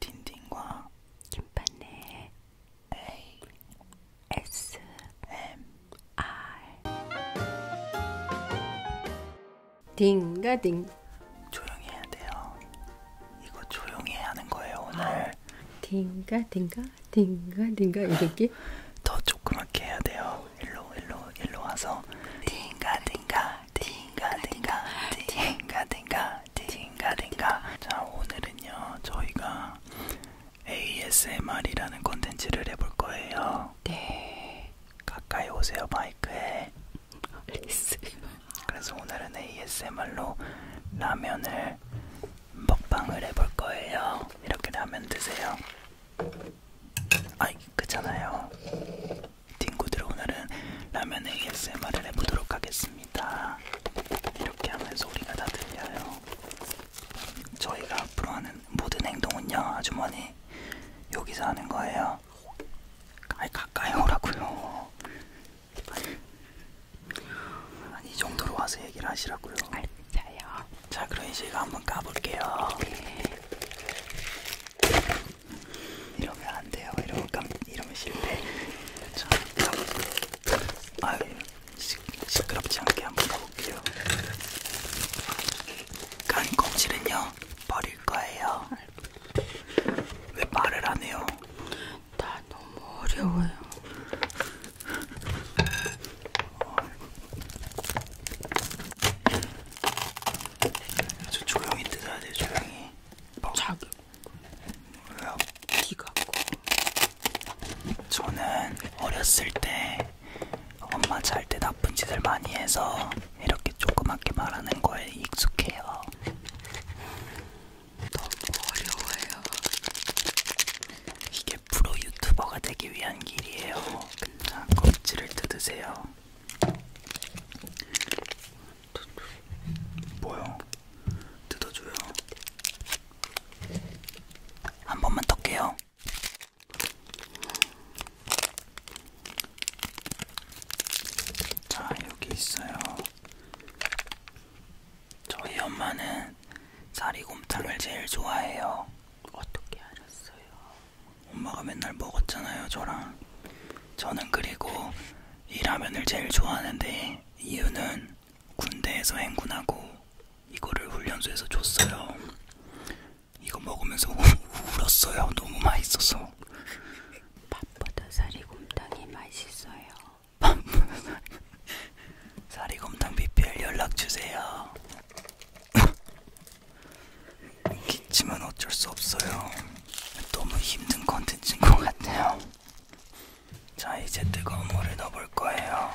딘딘과 김판네 A S M R 딩가딩 조용히 해야 돼요. 이거 조용히 하는 거예요 오늘. 딩가딩가 딩가딩가 이렇게 더 조그맣게 해야 돼요. 일로 일로 일로 와서 딩가딩가 딩가딩가 딩가딩가 딩가딩가 자 오늘은요 저희가 ASMR이라는 콘텐츠를 해볼 거예요 네 가까이 오세요 마이크에 알겠어요 그래서 오늘은 ASMR로 라면을 먹방을 해볼 거예요 이렇게 라면 드세요 아이 그잖아요 딩구들 오늘은 라면 ASMR을 해보도록 하겠습니다 감사합니다. 이렇게 하면 소리가 다 들려요. 저희가 앞으로 하는 모든 행동은요, 아주머니 여기서 하는 거예요. 아이 가까이 오라고요. 아니 이 정도로 와서 얘기를 하시라고요. 알겠어요. 자 그럼 이제 이거 한번 까볼게요. 네. 이러면 안 돼요. 이러면 깜, 이러면 실패. 자, 아유, 시, 시끄럽지 않게 한번 가볼게요. 간 껍질은요 버릴 거예요. 왜 말을 안 해요? 나 너무 어려워요. 저 조용히 뜯어야 돼요, 조용히. 자기 왜요? 키 같고. 저는 어렸을 때 엄마 잘 때 나쁜 짓을 많이 해서 이렇게 조그맣게 말하는 거에 익숙해요. 너무 어려워요. 이게 프로 유튜버가 되기 위한 길이에요. 자, 껍질을 뜯으세요. 뭐요? 뜯어줘요. 한 번만 떴게요. 자, 여기 있어요. 저희 엄마는 사리곰탕을 제일 좋아해요. 어떻게 알았어요? 엄마가 맨날 먹었잖아요, 저랑. 저는 그리고 이 라면을 제일 좋아하는데 이유는 군대에서 행군하고 이거를 훈련소에서 줬어요. 이거 먹으면서 우, 울었어요. 너무 맛있어서. 밥보다 사리곰탕이 맛있어요. 사리곰탕 BPL 연락 주세요. 기침은 어쩔 수 없어요. 너무 힘든 컨텐츠인 것 같아요. 자 이제 뜨거운 물을 넣어볼 거예요.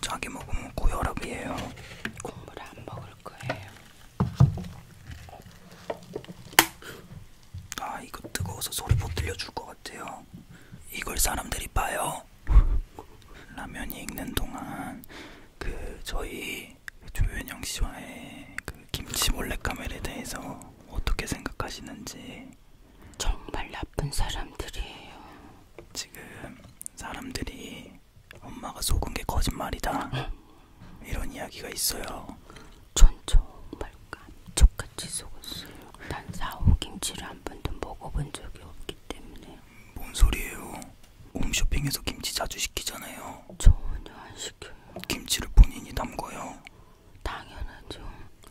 자기 먹으면 고혈압이에요. 국물을 안 먹을 거예요. 아 이거 뜨거워서 소리 못 들려줄 것 같아요. 이걸 사람들이 봐요. 라면이 익는 동안 그 저희 조현영 씨와의 그 김치 몰래 카메라에 대해서 어떻게 생각하시는지 정말 나쁜 사람들이에요. 지금 사람들이 엄마가 속은 게 거짓말이다 응. 이런 이야기가 있어요. 전 정말 깜짝같이 속았어요. 난 사오김치를 한 번도 먹어본 적이 없기 때문에. 뭔 소리예요? 홈쇼핑에서 김치 자주 시키잖아요. 전혀 안 시켜. 김치를 본인이 담궈요? 당연하죠.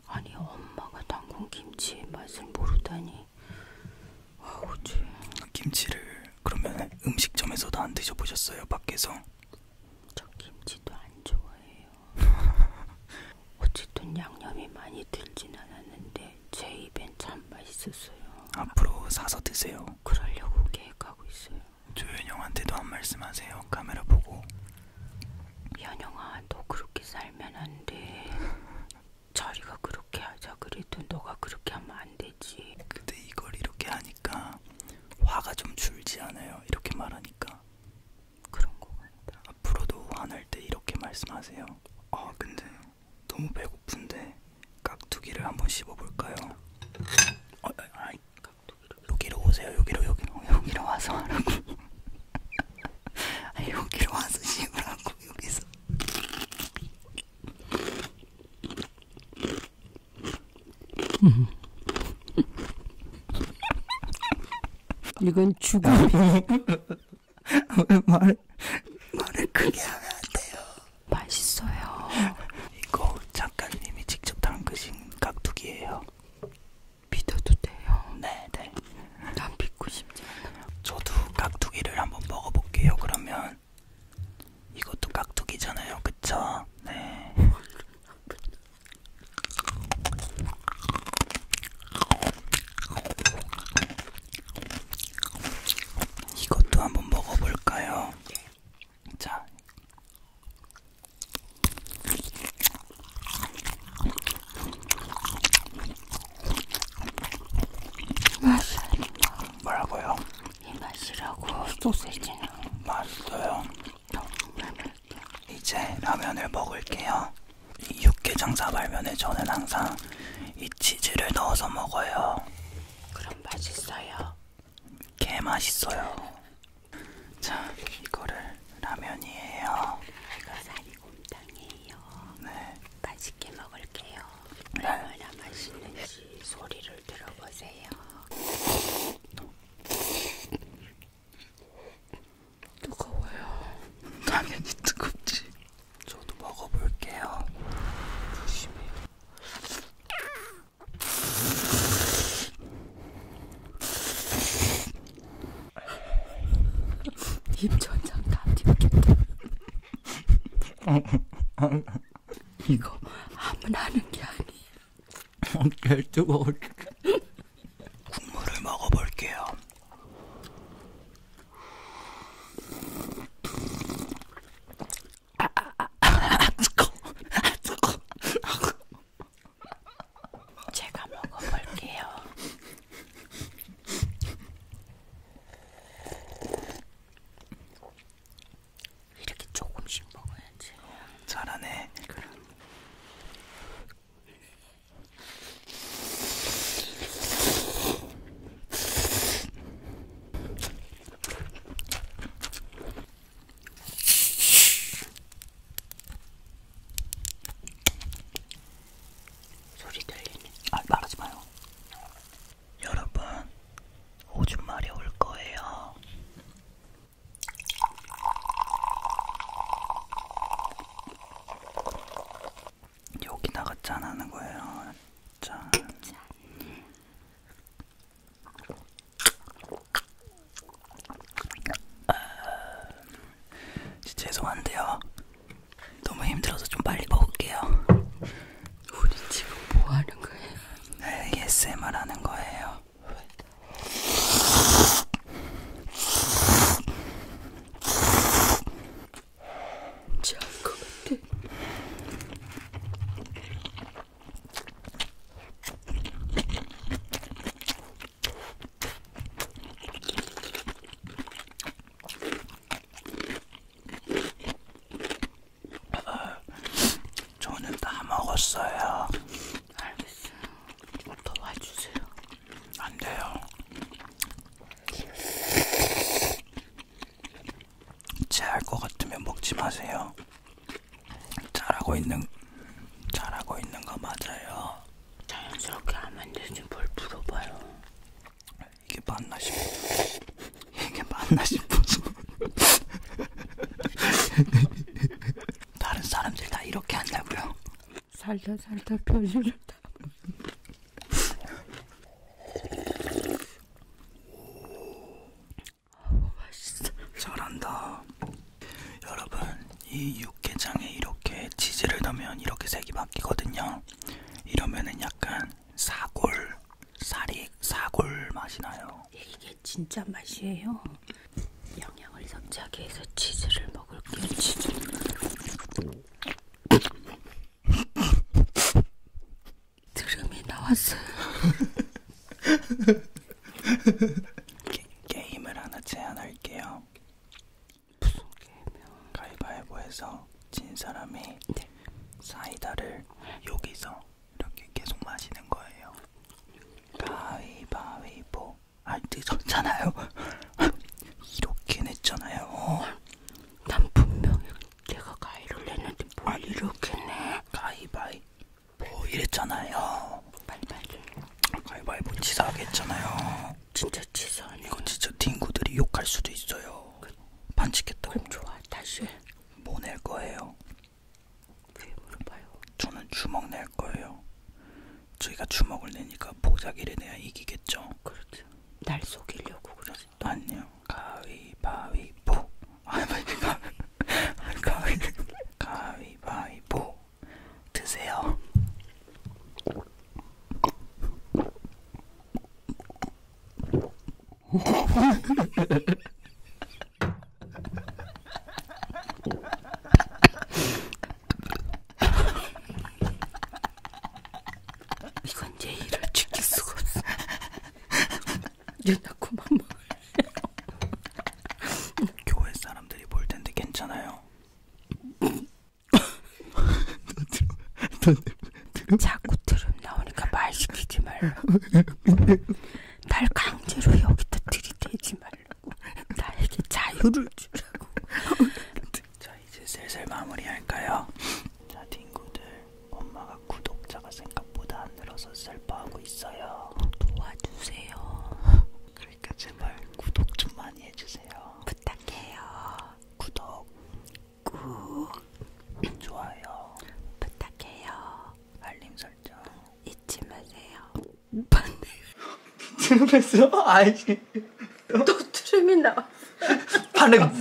아니 엄마가 담근 김치의 맛을 모르다니. 아우지. 김치를 그러면 음식점에서도 안 드셔보셨어요? 밖에서? 저 김치도 안 좋아해요. 어쨌든 양념이 많이 들진 않았는데 제 입엔 참 맛있었어요. 앞으로 사서 드세요. 그러려고 계획하고 있어요. 조현영한테도 한 말씀 하세요. 카메라 보고. 현영아, 너 그렇게 살면 안 돼. 자리가 그렇게 하자 그래도 너가 그렇게 하면 안 되지. 근데 이걸 이렇게 하니까 화가 좀 줄지 않아요. 이렇게 말하니까. 그런 거 같다. 앞으로도 화날 때 이렇게 말씀하세요. 아, 근데 너무 배고픈데 깍두기를 한번 씹어볼까요? 어, 아, 아, 아이, 여기로 오세요. 여기로 여기로 여기로 와서 하라고. 아니 여기로 와서 씹으라고 여기서. 이건 죽음. 왜 말, 말을 크게 하면 안 돼요. 맛있어요. 이거 작가님이 직접 담그신 깍두기예요. 믿어도 돼요. 네, 네. 난 믿고 싶지 않아요. 저도 깍두기를 한번 먹어볼게요. 그러면 이것도 깍두기잖아요, 그쵸? 네. 이것도 한번 먹어볼까요? 예. 자. 맛있다. 뭐라고요? 이 맛이라고 소시지는 맛있어요. 정말 맛있다. 이제 라면을 먹을게요. 이 육개장사 발면에 저는 항상 이 치즈를 넣어서 먹어요. 그럼 맛있어요. 개 맛있어요. 자, 이거를 라면이에요. 이거 사리곰탕이에요. 네. 맛있게 먹을게요. 네. 얼마나 맛있는지 소리를 들어보세요. 뜨거워요. 당연히 뜨겁지. 저도 먹어볼게요. 조심히. 입천장 다 뒤겠다. 이거 아무나 하는 게 아니에요. 개뜨거워. 국물을 먹어볼게요. 제가 먹어볼게요. 이렇게 조금씩 먹어야지. 잘하네. 그럼. 소리 들리니? 아, 말하지 마요. 여러분, 오줌마리 올 거예요. 여기다가 짠하는 거예요. 짠. 짠. 아, 죄송한데요. 너무 힘들어서 좀 빨리 먹을게요. 우리 지금 뭐 하는 거예요? ASMR 하는 거예요. 잘것 같아. 저는 다 먹었어요. 알겠어요. 더 와주세요. 안 돼요. 체할 것 같으면 먹지 마세요. 잘하고 있는 잘하고 있는 거 맞아요. 자연스럽게 하면 되지 뭘 물어봐요. 이게 맞나 싶어. 이게 맞나 싶어서. 다른 사람들 다 이렇게 한다고요? 살다 살다 표준을 다. 오, 맛있어. 잘한다. 여러분 이 육개장에 이렇게 치즈를 넣으면 이렇게 색이 바뀌거든요. 이러면은 약간 사골 사리 사골 맛이 나요. 예, 이게 진짜 맛이에요. 영양을 섭취하기 위해서 치즈를 먹을게요. 치즈. 드름이 나왔어요. 게, 게임을 하나 제안할게요. 무슨 게임이요? 가위바위보에서 진 사람이 네. 사이다를 여기서 이렇게 계속 마시는 거예요. 가위바위보. 아, 늦었잖아요. 이렇게 냈잖아요. 난 분명히 내가 가위를 냈는데 뭘 뭐 이렇게 내? 가위바위 뭐 이랬잖아요. 빨리 빨리. 가위바위보 치사하게 했잖아요. 진짜 치사하 이거 진짜 친구들이 욕할 수도 있어요. 그, 반칙했다고. 그럼 좋아, 다시 해. 뭐낼 거예요? 왜 물어봐요? 저는 주먹 낼 거예요. 저희가 주먹을 내니까 보자기를 내야 이기겠죠? 그렇죠. 날 속이려고 그러지. 아니요. 가위바위보. 아니, 가위. 가위. 가위바위보. 드세요. 이건 예의를 지킬 수가 없어. 얘 자꾸만 먹을래요. 뭐. 교회 사람들이 볼 텐데 괜찮아요. 자꾸 들음 나오니까 말 시키지 말라고. 날 강제로 여기다 들이대지 말라고. 나에게 자유를 주라고. 자 이제 슬슬 마무리할까요? 자 친구들 엄마가 구독자가 생각보다 안 늘어서 슬퍼하고 있어요. 도와주세요. 그러니까 제발 구독 좀 많이 해주세요. 부탁해요. 구독, 꾹, 좋아요. 부탁해요. 알림 설정 잊지 마세요. 반대. 트럼펫어? 아니지. 또 트림이 나왔어. 반응.